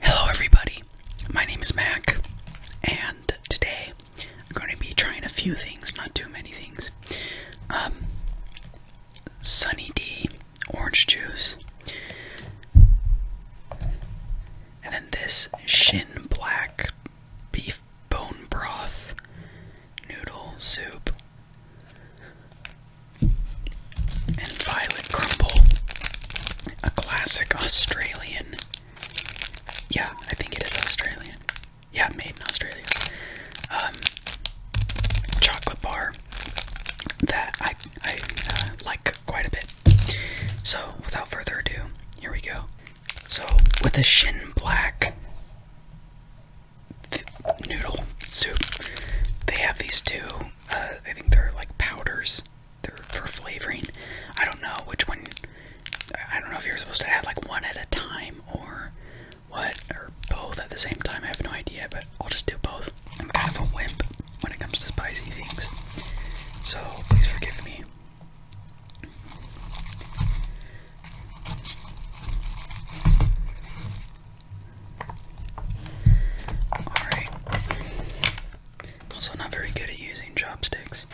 Hello, everybody. My name is Mac, and today I'm going to be trying a few things, not too many things. Um, Sunny D orange juice, and then this Shin Black beef bone broth noodle soup and Violet Crumble, a classic Australian. Yeah, I think it is Australian. Yeah, made in Australia. Um, chocolate bar that I I uh, like quite a bit. So without further ado, here we go. So with a shin black noodle soup, they have these two I think they're like powders. They're for flavoring. I don't know which one. I don't know if you're supposed to add like one at a time or what, or both at the same time. I have no idea, but I'll just do both. I'm kind of a wimp when it comes to spicy things, so please forgive me. Alright. Also, not very good at using chopsticks.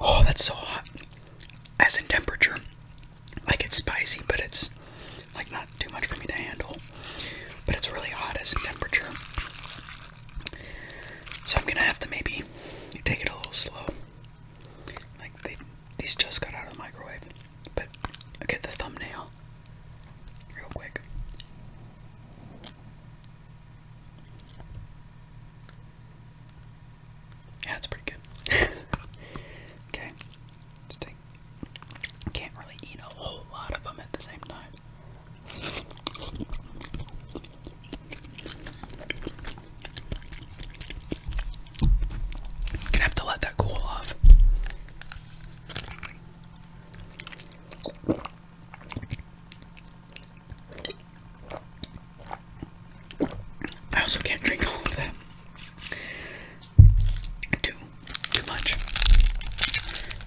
Oh, that's so hot. As in temperature, like it's spicy, but it's like not too much for me to handle. But it's really hot as in temperature. So I'm gonna have to maybe take it a little slow. Like these just got out of the microwave. But i get the thumbnail real quick. Yeah, it's pretty good. okay, let Can't really eat a whole lot of them at the same time. Gonna have to let that cool off. I also can't drink all of that. Too, too much.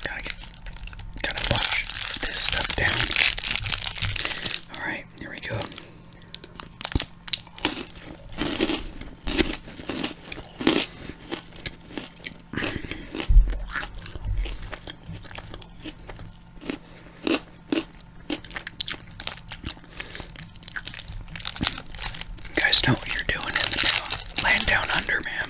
Gotta get, gotta wash this stuff down. All right, here we go guys know what you're doing in the land down under, man.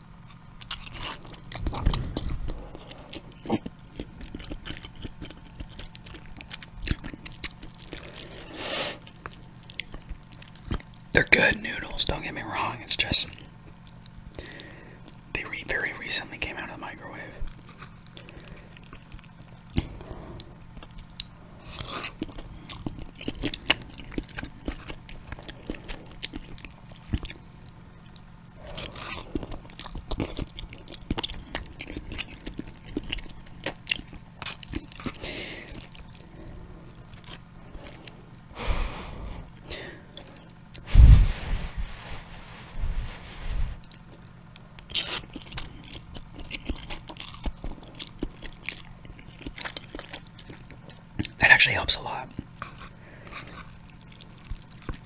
They're good noodles, don't get me wrong, it's just they very recently came out of the microwave. That actually helps a lot.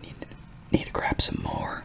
Need, to grab some more.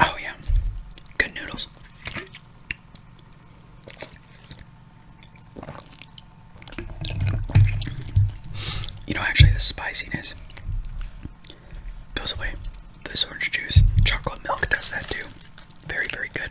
Oh, yeah. Good noodles. You know, actually, the spiciness goes away. This orange juice, chocolate milk does that too. Very, very good.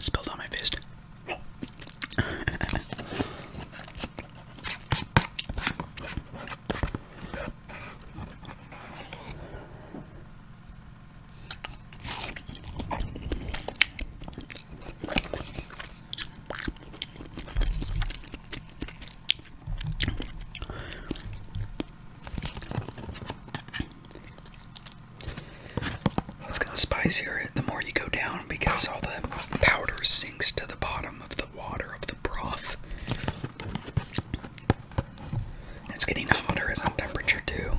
Spilled on my fist. It's going spicier the more you go down because all the powder sinks to the bottom of the water of the broth. It's getting hotter as a temperature too.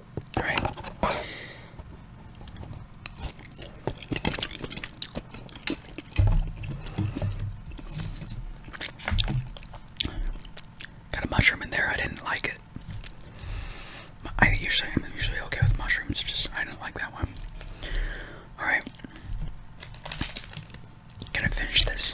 Got a mushroom in there. I didn't like it. I usually I'm usually okay with mushrooms. Just I don't like that one. All right. Gonna finish this.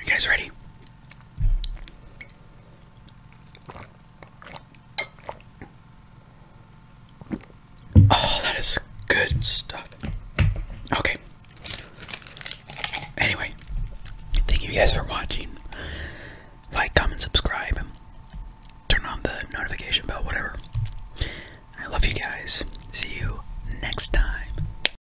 You guys ready? Oh, that is good stuff. Okay. Anyway, thank you guys for watching. Like, comment, subscribe, turn on the notification bell, whatever. I love you guys. See you next time.